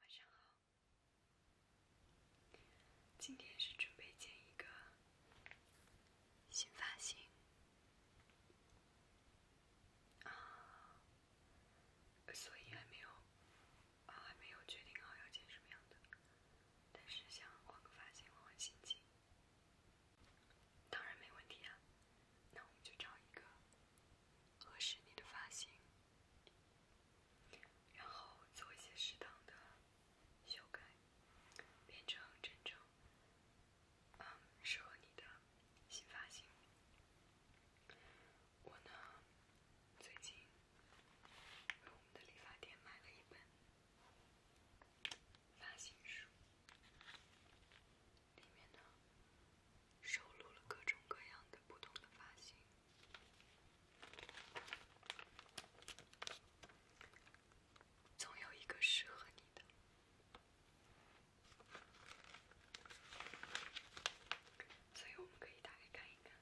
晚上好，今天是准备剪一个新发型啊，所以还没有啊，还没有决定好要剪什么样的，但是想换个发型，换换心情，当然没问题啊，那我们就找一个合适你的发型。然后做一些适当的修改，变成真正嗯适合你的新发型。我呢，最近在我们的理发店买了一本发型书，里面呢收录了各种各样的不同的发型。总有一个适合你的，所以我们可以打开看一看。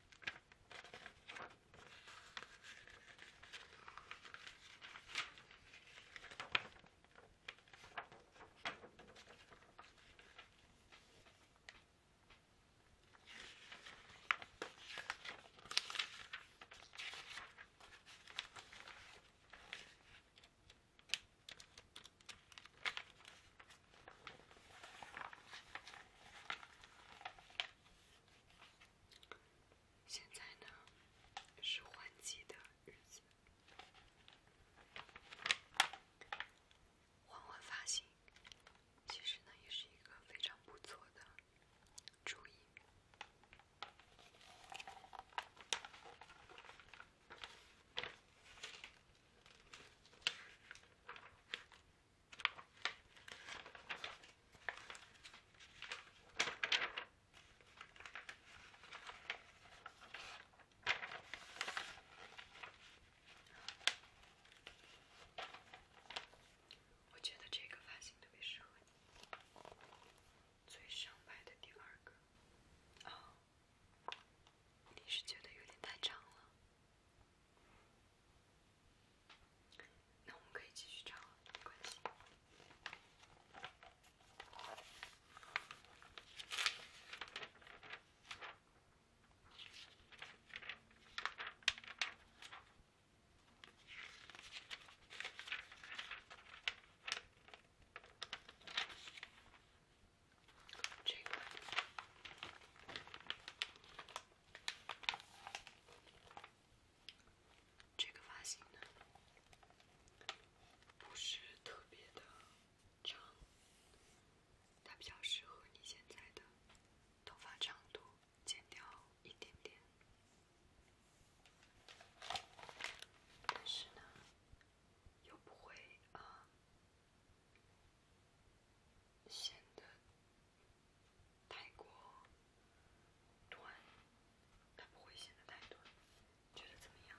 现在呢，是换季的日子，换换发型。其实呢，也是一个非常不错的主意。我觉得这个发型特别适合你，最上排的第二个。啊，你是觉得有点太长了？那我们可以继续长，没关系。这个发型呢，不是特别的长。它比较适合你现在的头发长度，剪掉一点点，但是呢，又不会啊，显得太过短，它不会显得太短，觉得怎么样？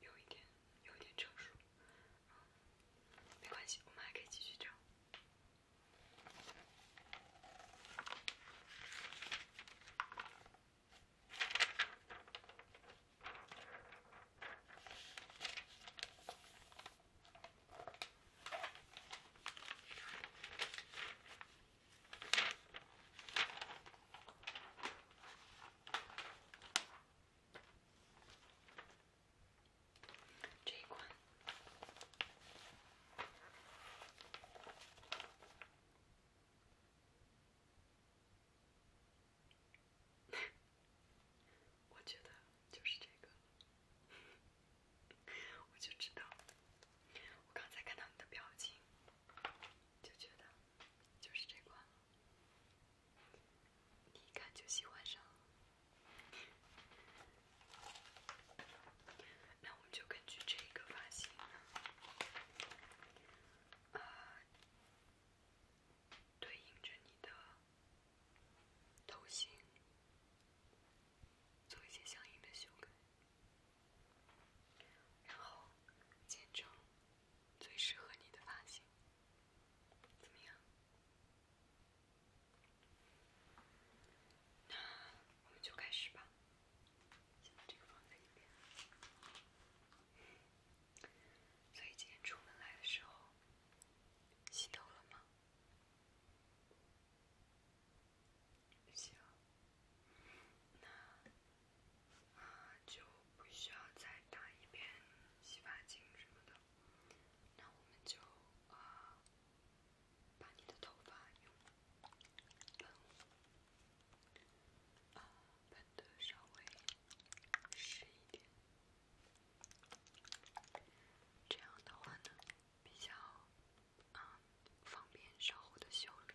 有一点，有一点成熟，没关系，我们还可以继续整。这款，我觉得就是这个，我就知道，我刚才看到你的表情，就觉得就是这款了。你一看就喜欢上了，那我们就根据这个发型，呃，对应着你的头型，做一些相应的修改，然后见证。最适合你的发型，怎么样？那我们就开始吧。先把这个放在一边。所以今天出门来的时候，洗头了吗？洗了。那。啊，就不需要再打一遍洗发精什么的。那我们就啊，把你的头发用喷雾啊喷的稍微湿一点，这样的话呢，比较啊方便稍后的修理。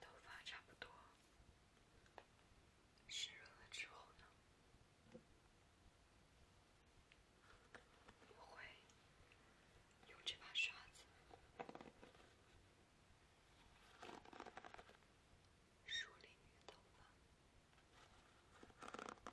头发差不多，湿润了之后呢，我会用这把刷子梳理女头发。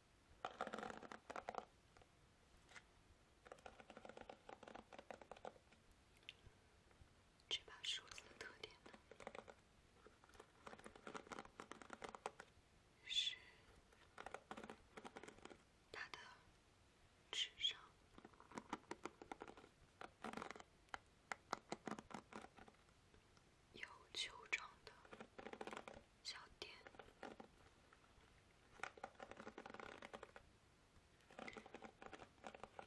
这把梳子的特点呢，是它的智商。有球状的小点，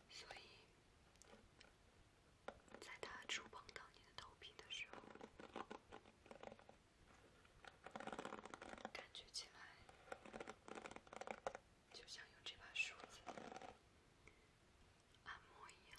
所以，在它触碰到你的头皮的时候，感觉起来就像用这把梳子按摩一样。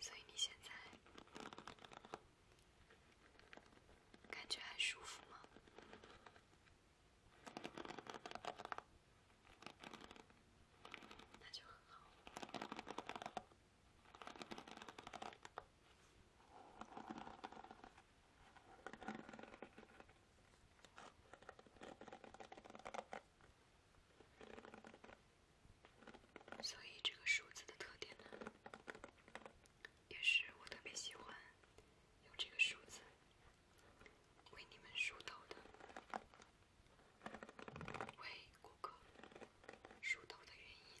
所以你现在感觉还舒服吗？所以这个数字的特点呢，也是我特别喜欢用这个数字为你们梳头的。为顾客梳头的原因。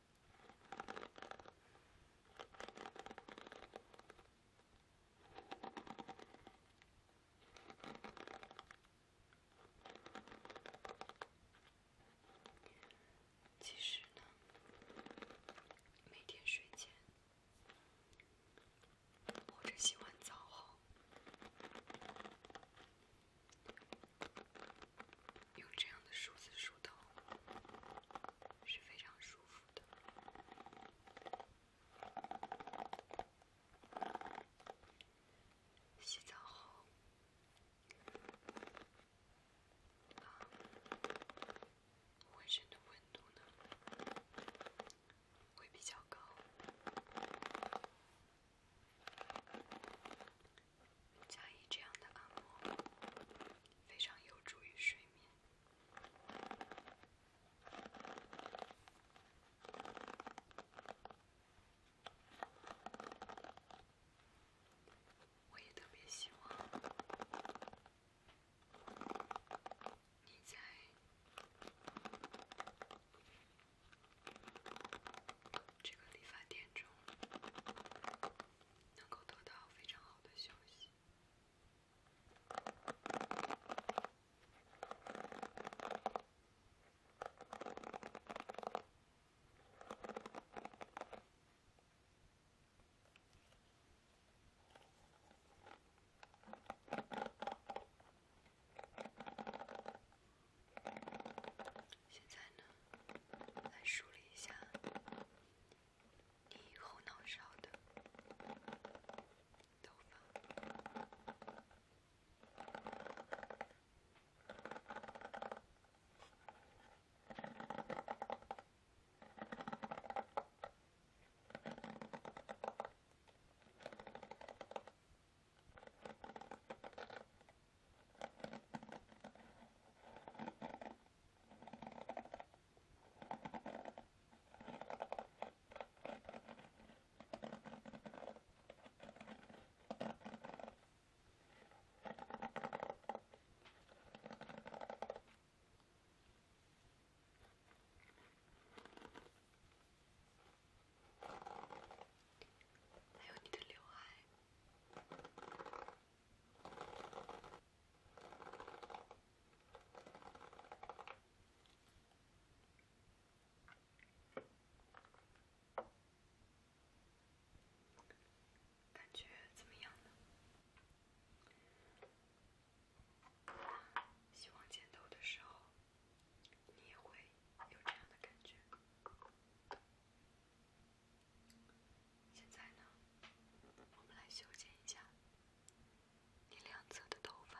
其实呢，每天睡前或者洗完澡后。用这样的梳子梳头是非常舒服的。洗澡后，啊，浑身的温度呢会比较高。加以这样的按摩，非常有助于睡眠。我也特别希望你在这个理发店中。能够得到非常好的休息。现在呢，来梳理一下你后脑勺的头发。还有你的刘海。感觉怎么样呢？希望剪头的时候，你也会有这样的感觉。现在呢，我们来修剪一下你两侧的头发。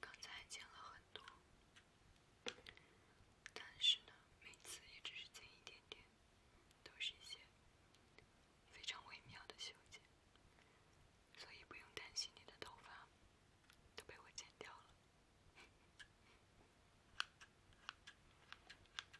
刚才剪了很多，但是呢，每次也只是剪一点点，都是一些非常微妙的修剪，所以不用担心你的头发都被我剪掉了。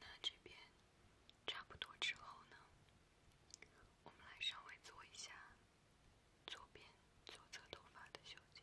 那这边差不多之后呢，我们来稍微做一下左边左侧头发的修剪。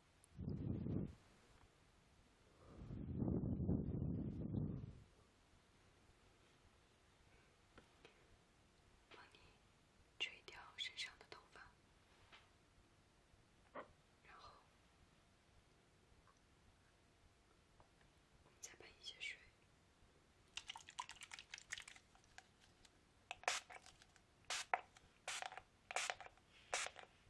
帮你吹掉身上的头发，然后再喷一些水。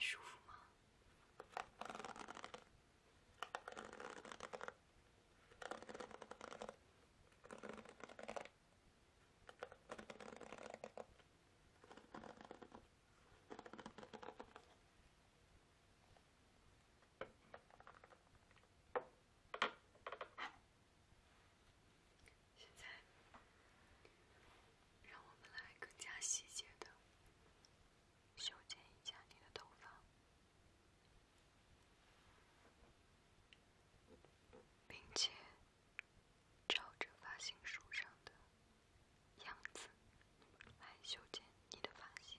舒服吗？现在，让我们来更加细节的修剪一下你的头发。并且照着发型书上的样子来修剪你的发型。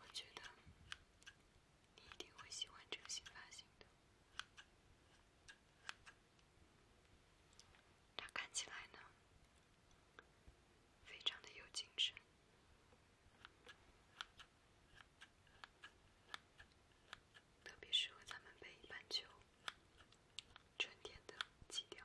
我觉得你一定会喜欢这种新发型的，它看起来呢非常的有精神，特别适合咱们北半球春天的基调。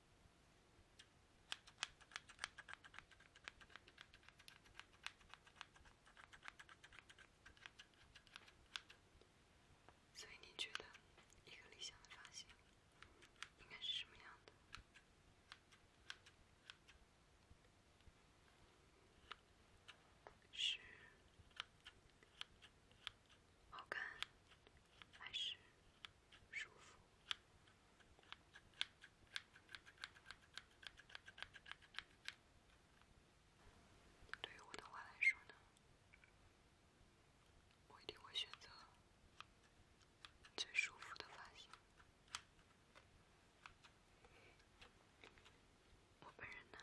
所以你觉得一个理想的发型应该是什么样的？是好看还是？舒服。对于我的话来说呢，我一定会选择最舒服的发型。我本人呢，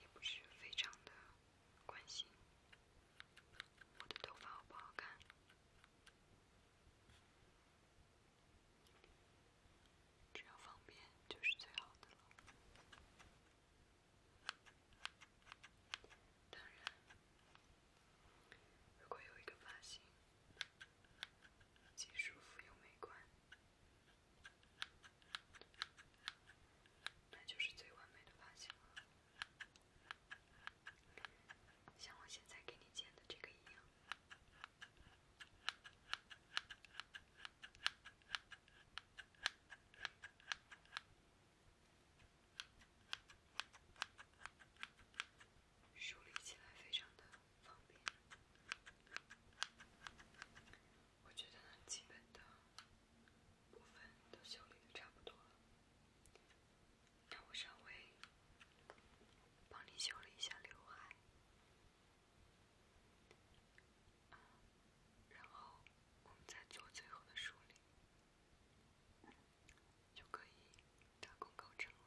也不是非常的。关心我的头发好不好看，只要方便就是最好的了。当然，如果有一个发型既舒服又美观，那就是最完美的发型了。像我现在给你剪的这个一样，梳理起来非常的方便。我觉得基本的。部分都修理的差不多了，那我稍微帮你修了一下刘海，然后我们再做最后的梳理，就可以大功告成了。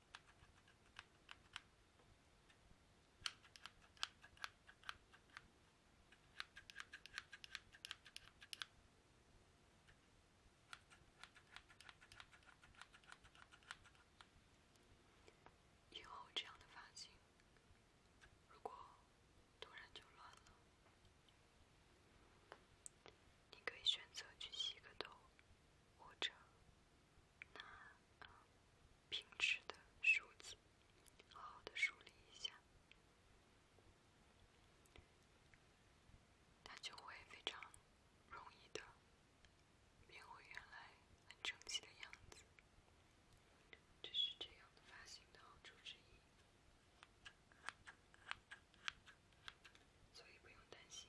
以后这样的发型，如果突然就乱了，你可以选择去洗个头。或者那平直的梳子，好好的梳理一下，它就会非常容易的变回原来很整齐的样子。这是这样发型的好处之一，所以不用担心。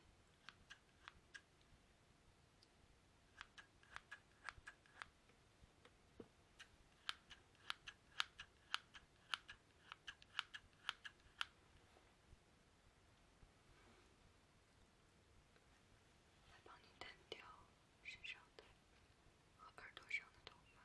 我帮你弹掉身上的和耳朵上的头发。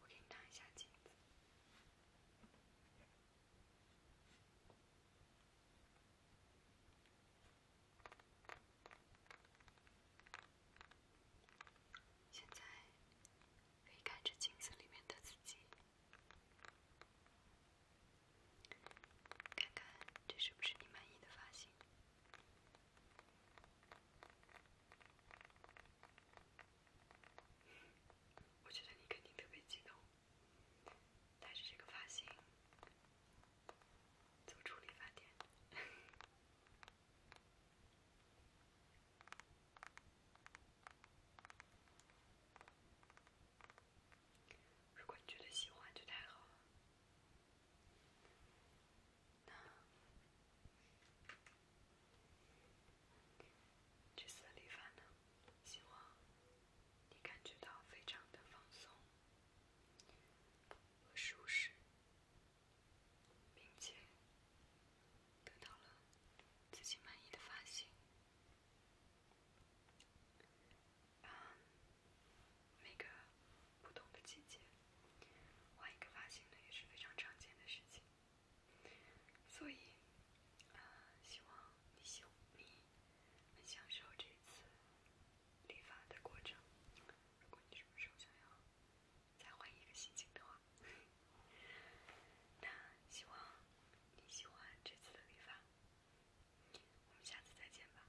我给你拿一下镜子。现在可以看着镜子里面的自己，看看这是不是你满意的发型。我觉得你肯定特别激动。带着这个发型走出理发店，如果你觉得喜欢就太好了。那。这次理发呢，希望你感觉到非常的放松和舒适，并且得到了自己满意的发型。啊，每个不同的季节，换一个发型呢也是非常常见的事情。所以，呃，希望你喜你享受这次理发的过程。如果你什么时候想要再换一个心情的话，那希望你喜欢这次的理发。我们下次再见吧，拜拜。